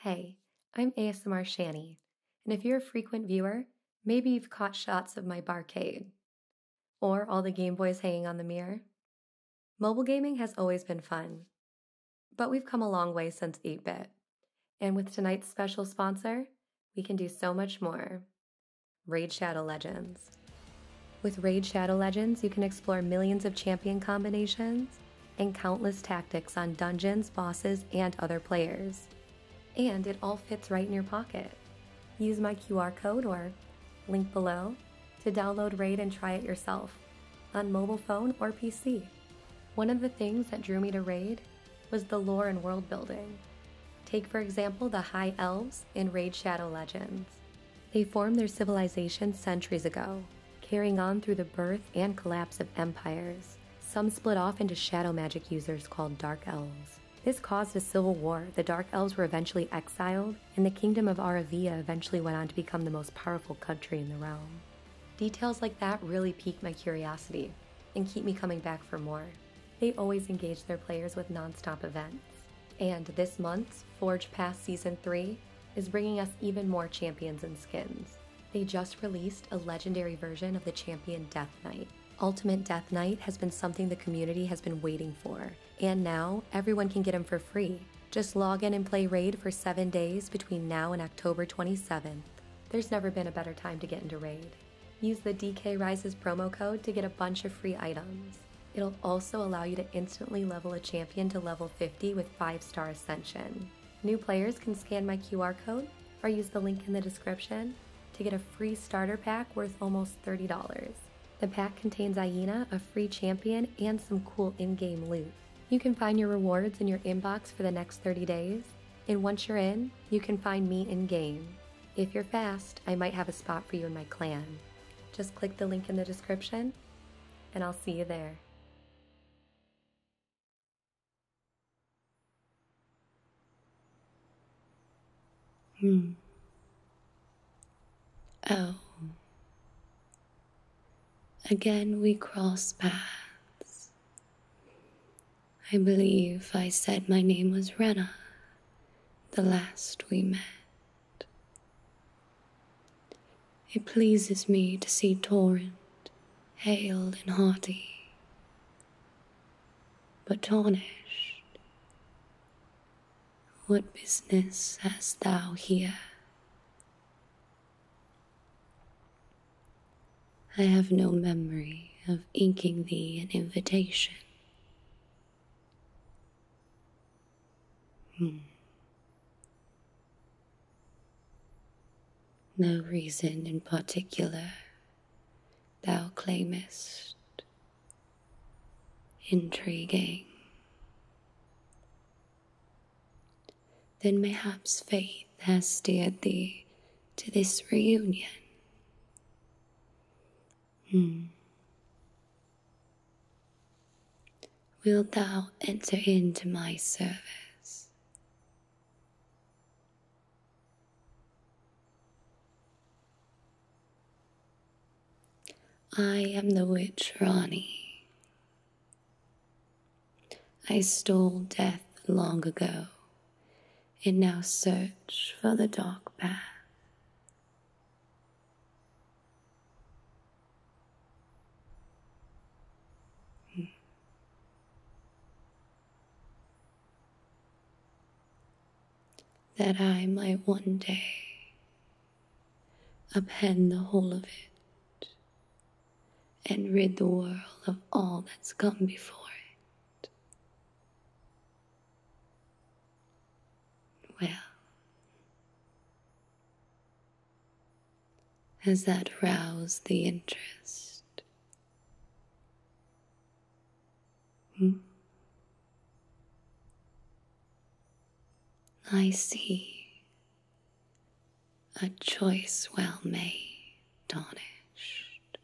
Hey, I'm ASMR Shanny, and if you're a frequent viewer, maybe you've caught shots of my barcade or all the Game Boys hanging on the mirror. Mobile gaming has always been fun, but we've come a long way since 8 bit. And with tonight's special sponsor, we can do so much more Raid Shadow Legends. With Raid Shadow Legends, you can explore millions of champion combinations and countless tactics on dungeons, bosses, and other players. And it all fits right in your pocket. Use my QR code or link below to download Raid and try it yourself on mobile phone or PC. One of the things that drew me to Raid was the lore and world building. Take, for example, the High Elves in Raid Shadow Legends. They formed their civilization centuries ago, carrying on through the birth and collapse of empires. Some split off into shadow magic users called Dark Elves. This caused a civil war. The Dark Elves were eventually exiled, and the kingdom of Aravia eventually went on to become the most powerful country in the realm. Details like that really pique my curiosity and keep me coming back for more. They always engage their players with nonstop events. And this month's Forge Pass Season 3 is bringing us even more champions and skins. They just released a legendary version of the champion Death Knight. Ultimate Death Knight has been something the community has been waiting for, and now everyone can get him for free just log in and play Raid for seven days between now and October 27th. There's never been a better time to get into Raid. Use the DK Rises promo code to get a bunch of free items. It'll also allow you to instantly level a champion to level 50 with 5 star ascension. New players can scan my QR code or use the link in the description to get a free starter pack worth almost $30. The pack contains Aina, a free champion, and some cool in game loot. You can find your rewards in your inbox for the next 30 days, and once you're in, you can find me in game. If you're fast, I might have a spot for you in my clan. Just click the link in the description, and I'll see you there. Hmm. Oh. Again, we cross paths. I believe I said my name was Rena the last we met. It pleases me to see Torrent, hale and hearty, but tarnished. What business hast thou here? I have no memory of inking thee an invitation. Hmm. No reason in particular thou claimest. Intriguing then mayhaps fate has steered thee to this reunion. Hmm. Will thou enter into my service? I am the witch Rani. I stole death long ago, and now search for the dark path. Hmm. That I might one day upend the whole of it and rid the world of all that's come before it. Well, has that roused the interest? Hmm? I see a choice well made, tarnished.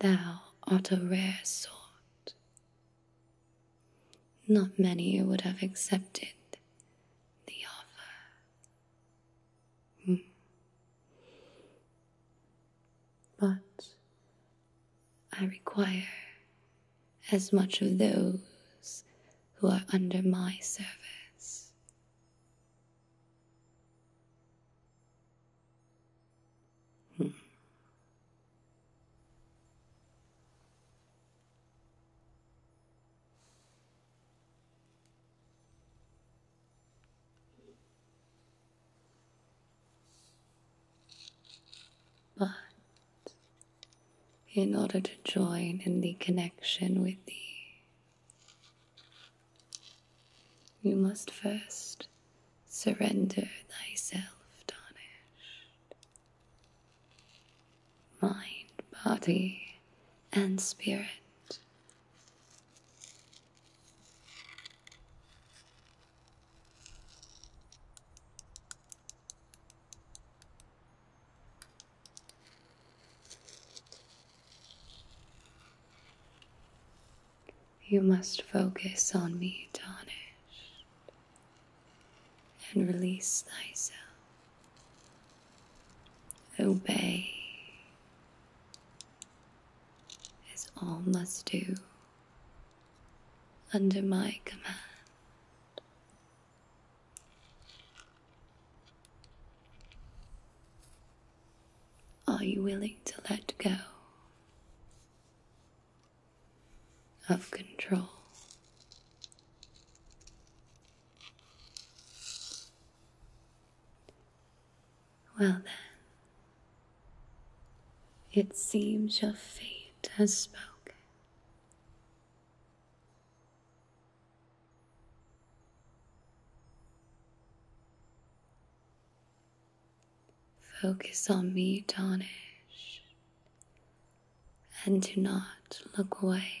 Thou art a rare sort. Not many would have accepted the offer. Hmm. But I require as much of those who are under my service but in order to join in the connection with the you must first surrender thyself, tarnished. Mind, body, and spirit. You must focus on me, tarnished, and release thyself. Obey as all must do under my command. Are you willing to let go of control? Well then, it seems your fate has spoken. Focus on me, Donish, and do not look away.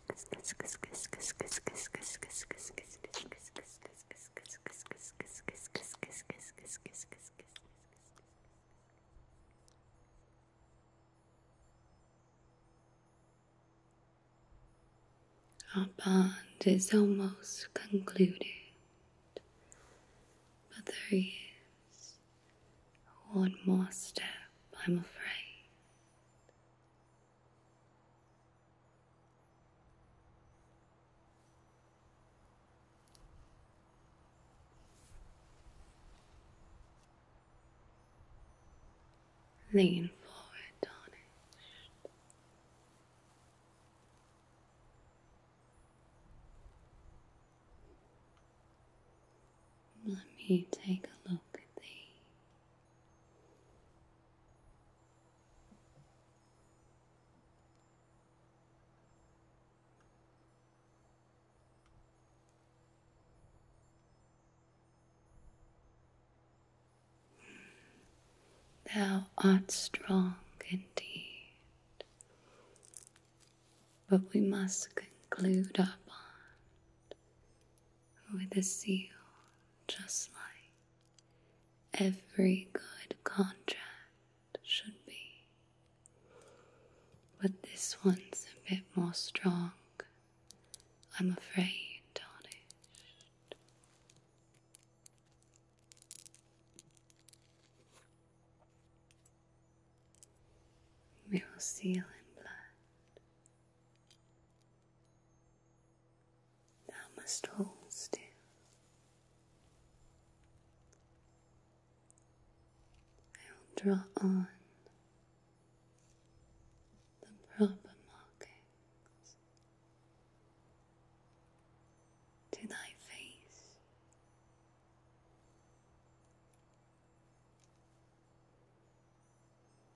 Our bond is almost concluded, but there is one more step, I'm afraid. Lean forward, tarnished. Let me take a look at thee. Thou art strong indeed, but we must conclude our bond with a seal, just like every good contract should be. But this one's a bit more strong, I'm afraid, Tarnished. We will seal in blood. Thou must hold still. I will draw on the proper markings to thy face.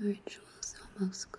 The ritual's almost complete.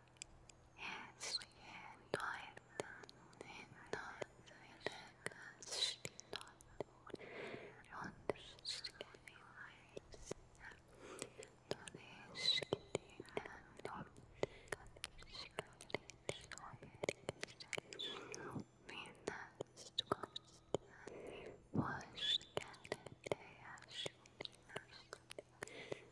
yes, and Titan and not Vegas not on the skinny lights. Thank you.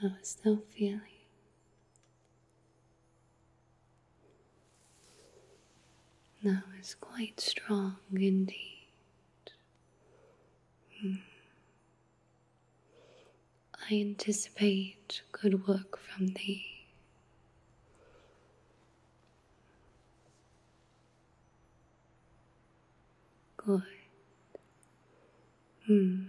How is still feeling? Now it's quite strong indeed. Hmm. I anticipate good work from thee. Good. Hmm.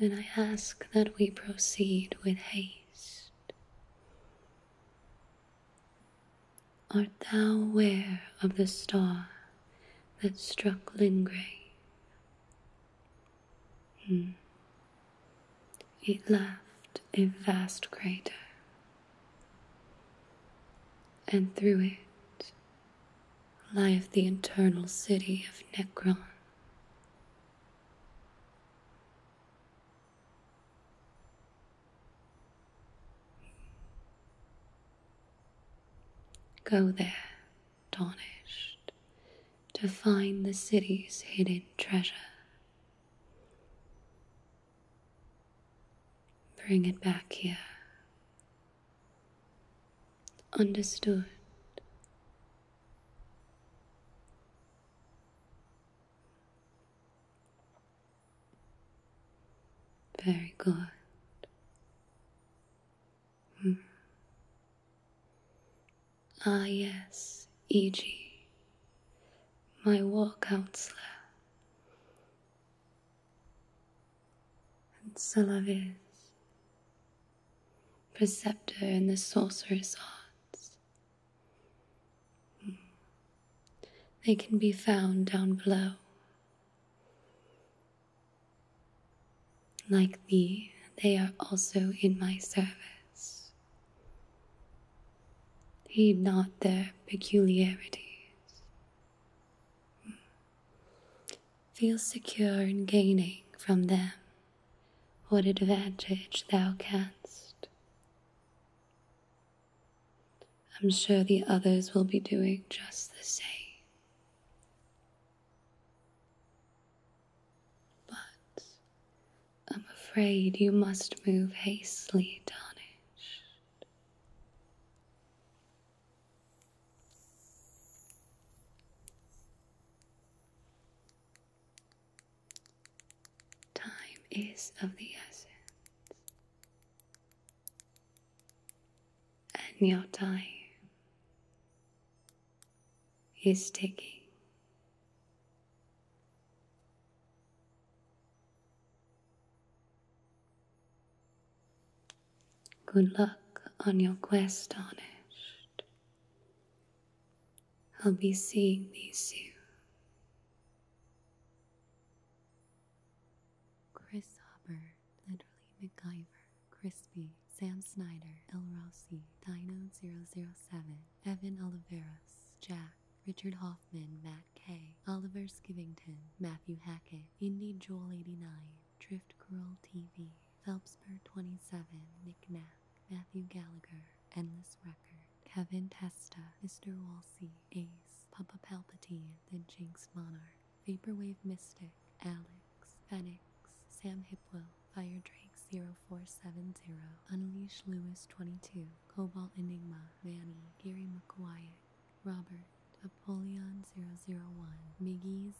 Then I ask that we proceed with haste. Art thou aware of the star that struck Lingray? Hmm. It left a vast crater, and through it lieth the eternal city of Necron. Go there astonished to find the city's hidden treasure. Bring it back here. Understood. Very good. Hmm. Ah, yes, E.G., my war counselor. And Salavis, preceptor in the sorcerer's arts. Hmm. They can be found down below. Like thee, they are also in my service. Heed not their peculiarities. Feel secure in gaining from them what advantage thou canst. I'm sure the others will be doing just the same. But I'm afraid you must move hastily, Tarnished. Time is of the essence. And your time is taking. Good luck on your quest, honest. I'll be seeing thee soon. Chris Hubbard, literally MacGyver. Crispy, Sam Snyder, El Rossi, Dino007, Evan Oliveros, Jack, Richard Hoffman, Matt K, Oliver Skivington, Matthew Hackett, Indie Joel 89, Drift Curl TV, Phelpsper27, Nick Knack, Matthew Gallagher, Endless Record, Kevin Testa, Mr. Walsey, Ace, Papa Palpatine, The Jinx Monarch, Vaporwave Mystic, Alex, Fenix, Sam Hipwell, Fire Drake 0470, Unleash Lewis 22, Cobalt Enigma, Manny, Gary McQuay, Robert, Apollyon 001, Miggy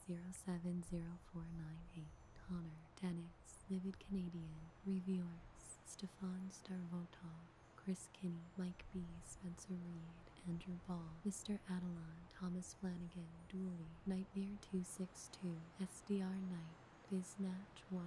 070498, Connor, Dennis, Livid Canadian, Reviewers, Stefan Starvotov, Chris Kinney, Mike B, Spencer Reed, Andrew Ball, Mr. Adelon, Thomas Flanagan, Dooley, Nightmare 262, SDR Knight, Biznatch 112,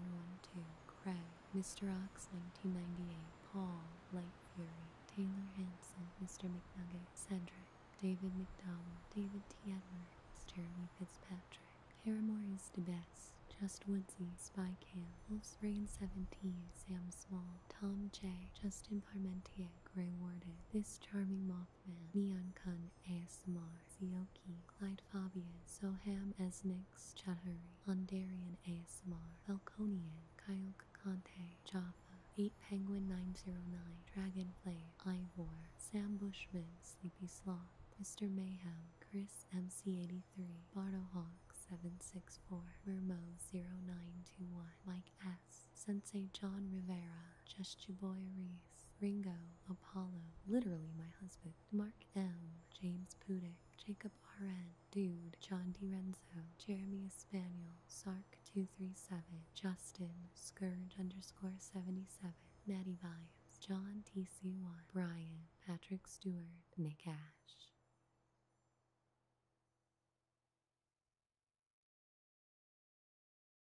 Craig, Mr. Ox 1998, Paul, Light Fury, Taylor Hanson, Mr. McNugget, Cedric, David McDowell, David T. Edwards, Jeremy Fitzpatrick, Paramore is the best, Just Woodsy, Spy Cam, Wolf's Reign 17, Sam Small, Tom J, Justin Parmentier, Grey Warden, This Charming Moth Mothman, Neon Kun ASMR, Zioki, Clyde Fabian, Soham Esnix Chahuri, Ondarian ASMR, Falconian, Kyle Conte, Jaffa, 8 Penguin 909, Dragonflay, Ivor, Sam Bushman, Sleepy Sloth, Mr. Mayhem, Chris MC83, Bardohawk 764, Mermo 0921, Mike S, Sensei John Rivera, Just Your Boy Reed, Ringo, Apollo, literally my husband, Mark M, James Pudick, Jacob R.N., Dude, John D Renzo, Jeremy Espaniel, Sark237, Justin, Scourge underscore 77, Natty Vibes, John TC1, Brian, Patrick Stewart, Nick Ash.